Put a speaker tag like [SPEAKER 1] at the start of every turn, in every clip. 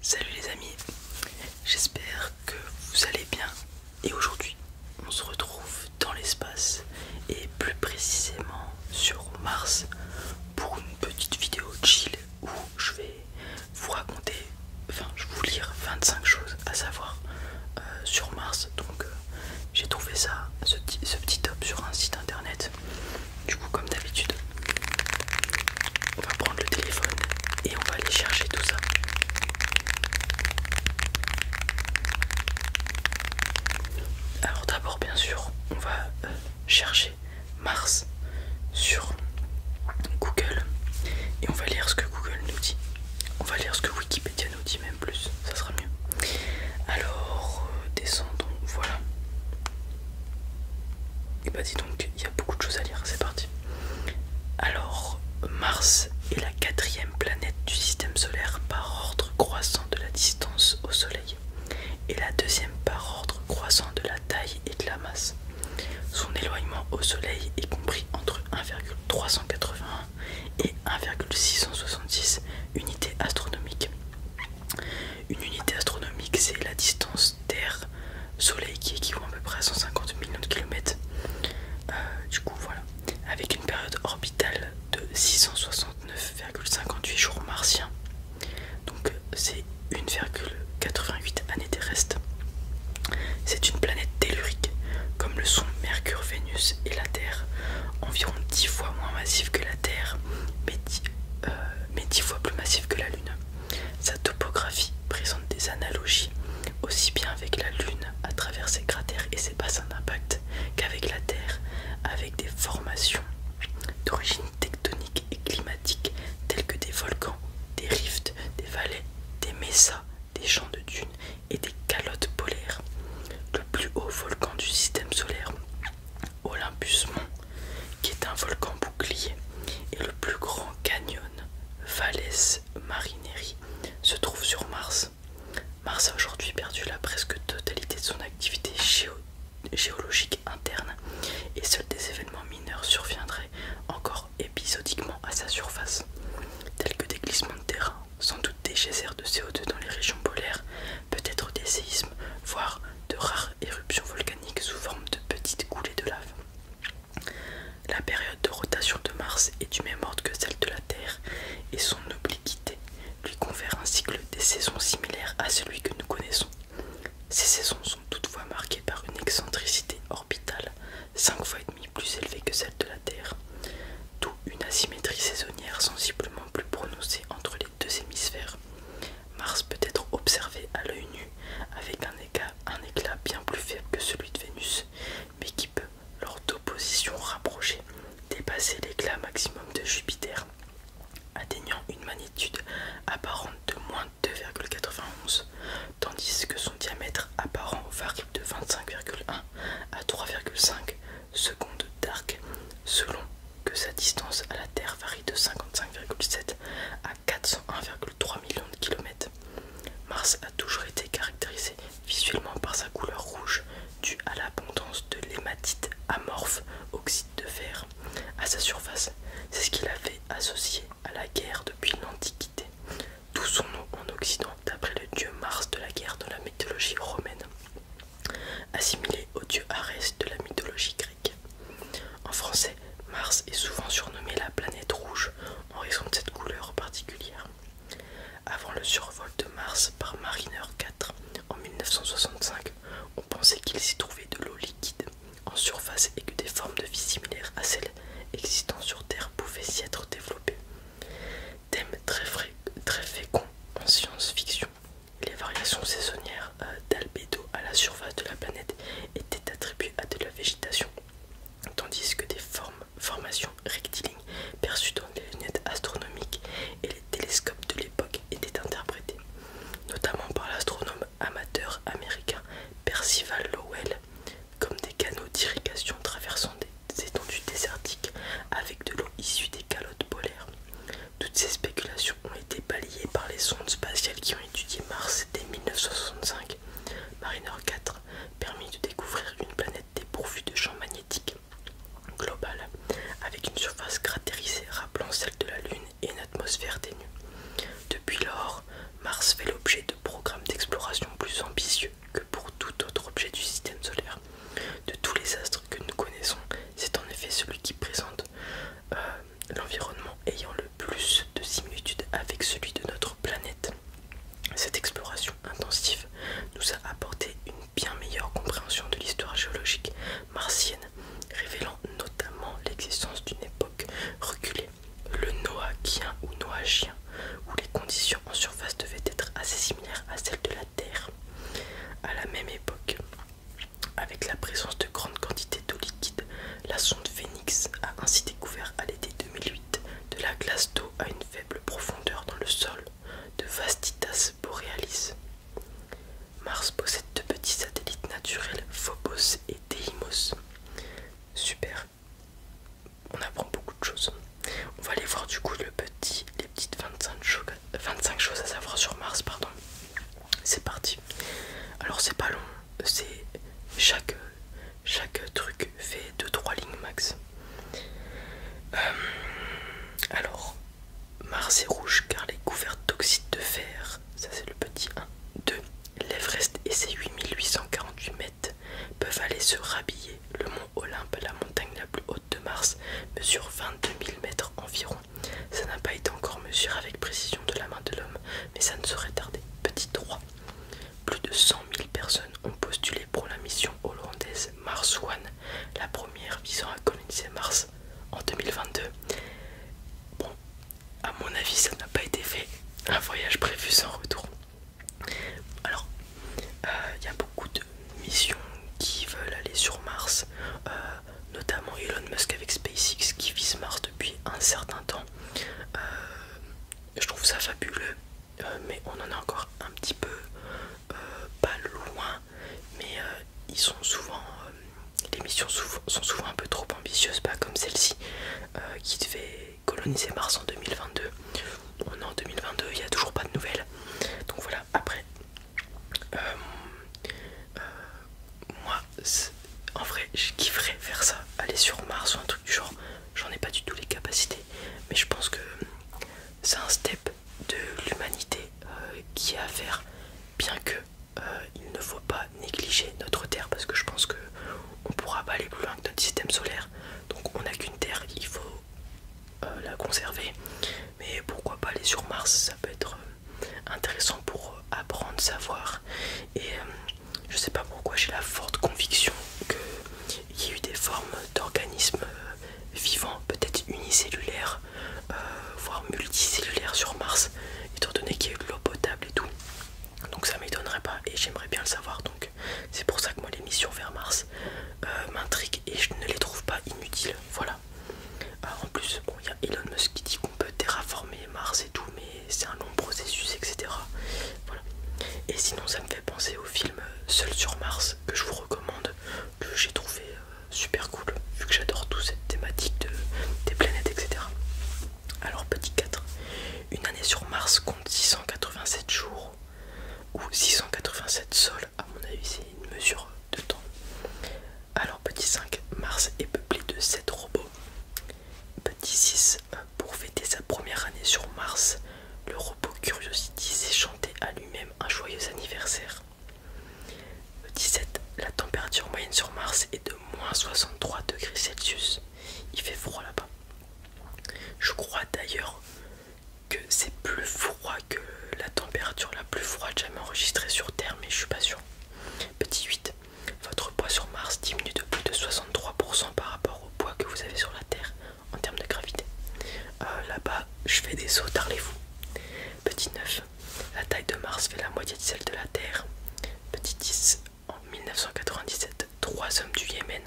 [SPEAKER 1] Salut les amis, j'espère que vous allez bien et aujourd'hui on se retrouve dans l'espace et plus précisément sur Mars pour une petite vidéo chill où je vais vous raconter, enfin je vais vous lire 25 choses à savoir euh, sur Mars donc euh, j'ai trouvé ça, ce petit top sur un site internet du coup, comme d'habitude, on va prendre le téléphone et on va aller chercher tout ça. Alors d'abord, bien sûr, on va euh, chercher Mars sur Google et on va lire ce que Google nous dit. On va lire ce que Wikipédia nous dit même plus, ça sera mieux. Alors, euh, descendons, voilà. Et bah dis donc, il beaucoup de choses à lire, c'est parti. Alors, Mars est la quatrième planète du système solaire par ordre croissant de la distance au Soleil, et la deuxième par ordre croissant de la taille et de la masse. Son éloignement au Soleil est compris entre 1,381 et 1,666 unités astronomiques. Une unité astronomique, c'est la distance Terre-Soleil qui équivaut à peu près à 150 millions de kilomètres. Euh, du coup, voilà. Avec une période orbitale de 669,58 jours martiens. Donc, c'est 1,88 années terrestres. C'est une planète tellurique, comme le sont Mercure, Vénus et la Terre, environ 10 fois moins massive que la Terre, mais euh, mais 10 fois plus massive que la Lune. Sa topographie présente des analogies aussi bien avec la Lune à travers ses cratères et ses bassins d'impact qu'avec la Terre, avec des formations d'origine tectonique et climatique telles que des volcans, des rifts, des vallées, des mesas, des champs de dunes et des calottes polaires. Le plus haut volcan du système solaire Olympus Mont, qui est un volcan bouclier, et le plus grand canyon, Valles Marineri, se trouve sur Mars. Mars a aujourd'hui perdu la presque totalité de son activité géologique interne, et seuls des événements mineurs surviendraient encore épisodiquement à sa surface, tels que des glissements de terrain, sans doute des geysers de CO2 dans les régions polaires, peut-être des séismes, voire de rares éruptions volcaniques sous forme de petites coulées de lave. La période de rotation de Mars est du même ordre que celle de la Terre et son obliquité lui confère un cycle des saisons similaire à celui que nous connaissons. Ces saisons sont toutefois marquées par une excentricité orbitale 5 fois et demi plus élevée que celle de la Terre, d'où une asymétrie saisonnière sensiblement plus prononcée entre les deux hémisphères. Mars peut être observé à l'œil nu avec un éclat, bien plus faible que celui de Vénus, mais qui peut, lors d'opposition rapprochée, dépasser l'éclat maximum de Jupiter, atteignant une magnitude apparente de moins 2,91, tandis que son diamètre apparent varie de 25,1 à 3,5 secondes d'arc, selon que sa distance à la Terre varie de 55,7 à 401,3 millions de kilomètres. Mars a toujours été caractérisé visuellement par sa couleur rouge due à l'abondance de l'hématite amorphe oxyde de fer à sa surface. C'est ce qu'il avait associé à la guerre depuis l'Antiquité, d'où son nom en Occident d'après le dieu Mars de la guerre dans la mythologie romaine, assimilé au dieu Arès de la mythologie grecque. En français, Mars est souvent surnommé la planète rouge en raison de cette couleur particulière. Avant le survol de Mars par Mariner 4 en 1965, on pensait qu'il s'y trouvait de l'eau liquide en surface et que des formes de vie similaires à celles existant sur Terre pouvaient s'y être développées. Thème très, très fécond en science-fiction les variations saisonnières euh, d'albédo à la surface de la planète étaient attribuées à de la végétation, tandis que des formes, formations rectilignes perçues dans les lunettes astronomiques et les télescopes de l'époque étaient interprétées, notamment par l'astronome amateur américain Percival Lowell, comme des canaux d'irrigation traversant des étendues désertiques avec de l'eau issue des calottes polaires. Toutes ces spéculations ont été balayées par les sondes spatiales qui ont étudié Mars dès 1965. Mariner 4 permit de découvrir une planète dépourvue de champs magnétiques global, avec une surface cratérisée rappelant celle de la Lune et une atmosphère dénue. Depuis lors, Mars fait l'objet de programmes d'exploration plus ambitieux que pour tout autre objet du système solaire. De tous les astres que nous connaissons, c'est en effet celui qui présente euh, l'environnement ayant le plus de similitudes avec celui de notre planète. Cette exploration intensive nous a apporté une bien meilleure compréhension de l'histoire géologique martienne, révélant notamment l'existence d'une époque reculée, le Noachien ou Noachien, où les conditions en surface devaient être assez similaires à celles de la Terre. À la même époque, avec la présence de grandes quantités d'eau liquide, la sonde Phoenix a ainsi découvert à l'été 2008 de la glace d'eau à une faible profondeur dans le sol de Vastitas borealis. Mars possède deux petits satellites naturels, Phobos et Deimos. Super, on apprend beaucoup de choses. On va aller voir du coup les petites 25, 25 choses à savoir sur Mars. pardon c'est parti. Alors c'est pas long, c'est chaque chaque truc fait 2-3 lignes max. Euh, alors Mars est rouge car les couvertes d'oxyde de fer, ça c'est le petit 1, 2. L'Everest et ses 8848 mètres peuvent aller se rhabiller. Le mont Olympe, la montagne la plus haute de Mars, mesure 22 000 mètres environ. Ça n'a pas été encore mesuré avec précision de la main de l'homme, mais ça ne saurait tarder. Petit 3. Plus de 100 000 personnes ont postulé pour la mission hollandaise Mars One, la première visant à coloniser Mars en 2022. Bon, à mon avis, ça n'a pas été fait. Un voyage prévu sans retour. Alors, euh, il y a beaucoup de missions qui veulent aller sur Mars. Euh, notamment Elon Musk avec SpaceX qui vise Mars depuis un certain temps. Euh, je trouve ça fabuleux, euh, mais on en est encore un petit peu euh, pas loin. Mais ils sont souvent, les missions sont souvent un peu trop ambitieuses, pas comme celle-ci qui devait coloniser Mars en 2022. On est en 2022, il n'y a toujours pas de nouvelles. Donc voilà, après. euh, moi en vrai je kifferais faire ça aller sur Mars ou un truc du genre j'en ai pas du tout les capacités mais je pense que c'est un step de l'humanité euh, qui a à faire bien que euh, il ne faut pas négliger notre terre parce que je pense que on pourra pas aller plus loin que notre système solaire donc on n'a qu'une terre il faut euh, la conserver mais pourquoi pas aller sur Mars ça peut être euh, intéressant pour euh, apprendre, savoir. Et euh, je sais pas pourquoi j'ai la forte conviction qu'il y a eu des formes d'organismes vivants, peut-être unicellulaires, voire multicellulaires sur Mars, étant donné qu'il y a eu de l'eau potable et tout. Donc ça m'étonnerait pas et j'aimerais bien le savoir. Donc c'est pour ça que moi les missions vers Mars m'intriguent et je ne les trouve pas inutiles. Voilà. Ah, en plus, il y a Elon Musk qui dit qu'on peut terraformer Mars et tout, mais c'est un long processus, etc. Et sinon, ça me fait penser au film Seul sur Mars que je vous recommande, que j'ai trouvé euh, super cool, vu que j'adore toute cette thématique des planètes, etc. Alors, petit 4, une année sur Mars compte 687 jours ou 687 sols, à mon avis, c'est une mesure de temps. Alors petit 5, Mars est peuplé de 7 robots. Petit 6, euh, pour fêter sa première année sur Mars, le robot Curiosity s'est chanté à lui-même un joyeux anniversaire. petit 7, La température moyenne sur Mars est de moins 63 degrés Celsius. Il fait froid là-bas. Je crois d'ailleurs que c'est plus froid que la température la plus froide jamais enregistrée sur Terre, mais je suis pas sûr. Petit 8. Votre poids sur Mars diminue de plus de 63% par rapport au poids que vous avez sur la Terre en termes de gravité. Euh, là-bas, je fais des sauts, tarlez-vous. Petit 9. La taille de Mars fait la moitié de celle de la Terre. Petit 10. En 1997, trois hommes du Yémen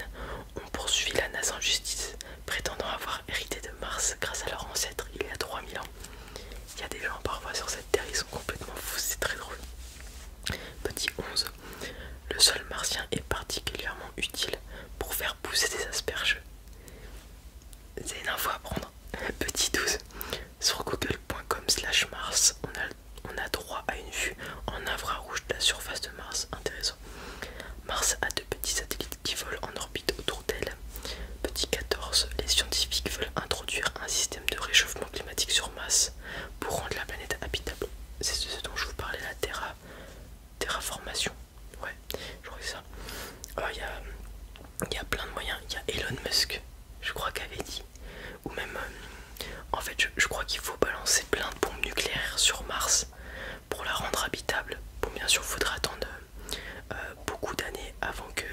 [SPEAKER 1] ont poursuivi la NASA en justice, prétendant avoir hérité de Mars grâce à leur ancêtre il y a 3000 ans. Il y a des gens parfois sur cette terre, ils sont complètement fous, c'est très drôle. Petit 11. Le sol martien est particulièrement utile pour faire pousser des asperges. C'est une info à prendre. Petit 12. Sur google.com slash Mars, on a, on a droit à une vue en infrarouge de la surface de Mars. Intéressant. Mars a deux petits satellites qui volent en orbite autour d'elle Petit 14. Les scientifiques veulent introduire un système de réchauffement climatique sur Mars pour rendre la planète habitable. C'est ce dont je vous parlais, la terra, terraformation. Ouais, je crois que ça. Euh, il y, a plein de moyens. Il y a Elon Musk, je crois qu'il avait dit. Ou même, euh, en fait, je, crois qu'il faut balancer plein de bombes nucléaires sur Mars pour la rendre habitable. Bon, bien sûr, il faudra attendre euh, beaucoup d'années avant que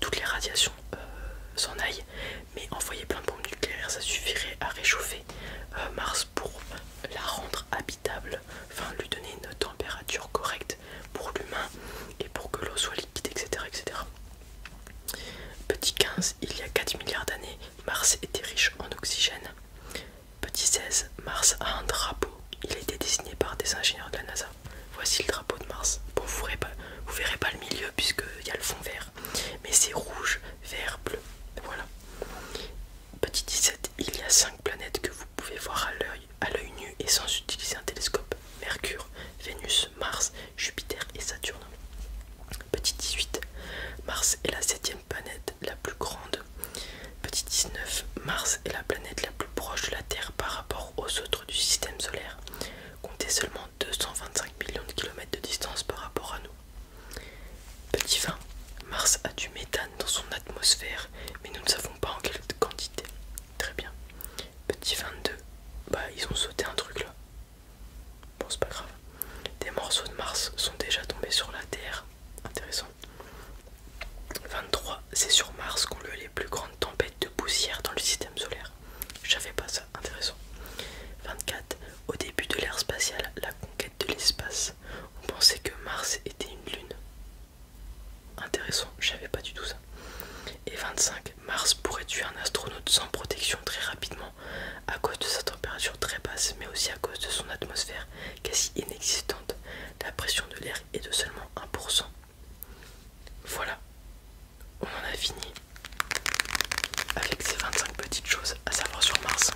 [SPEAKER 1] toutes les radiations euh, s'en aillent. Mais envoyer plein de bombes nucléaires, ça suffirait à réchauffer euh, Mars pour la rendre habitable, enfin lui donner une température correcte pour l'humain et pour que l'eau soit liquide, etc. etc. Petit 15, il y a 4 milliards d'années, Mars était riche en oxygène. Petit 16, Mars a un drapeau il a été dessiné par des ingénieurs de la NASA. Voici le drapeau de Mars. Bon, vous verrez pas, verrez pas le milieu puisqu'il y a le fond vert. Mais c'est rouge, vert, bleu. Voilà. Petit 17, il y a 5 planètes que vous pouvez voir à l'œil nu et sans utiliser un télescope. Mercure, Vénus, Mars, Jupiter et Saturne. Petit 18, Mars est la septième planète la plus grande. Petit 19, Mars est la planète la plus proche de la Terre par rapport aux autres du système solaire Comptez seulement 225 millions de kilomètres de distance par rapport à nous. Petit 20. Mars a du méthane dans son atmosphère, mais nous ne savons pas en quelle quantité. Très bien. Petit 22. Bah, ils ont sauté un truc là. Bon, c'est pas grave. Des morceaux de Mars sont déjà tombés sur la Terre. Intéressant. 23. C'est sur Mars qu'on a les plus grandes tempêtes de poussière dans le système solaire. Je pas ça, intéressant. 24. Au début de l'ère spatiale, la conquête de l'espace. On pensait que Mars était une lune. Intéressant, je pas du tout ça. Et 25. Mars pourrait tuer un astronaute sans protection très rapidement à cause de sa température très basse, mais aussi à cause de son atmosphère quasi inexistante. La pression de l'air est de seulement 1%, voilà, on en a fini avec ces 25 petites choses à savoir sur Mars.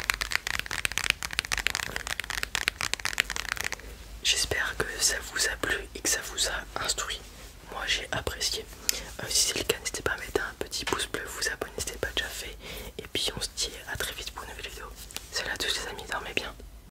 [SPEAKER 1] J'espère que ça vous a plu et que ça vous a instruit. Moi j'ai apprécié. Euh, si c'est le cas, n'hésitez pas à mettre un petit pouce bleu, vous abonner si ce n'est pas déjà fait. Et puis on se dit à très vite pour une nouvelle vidéo. Salut à tous les amis, dormez bien.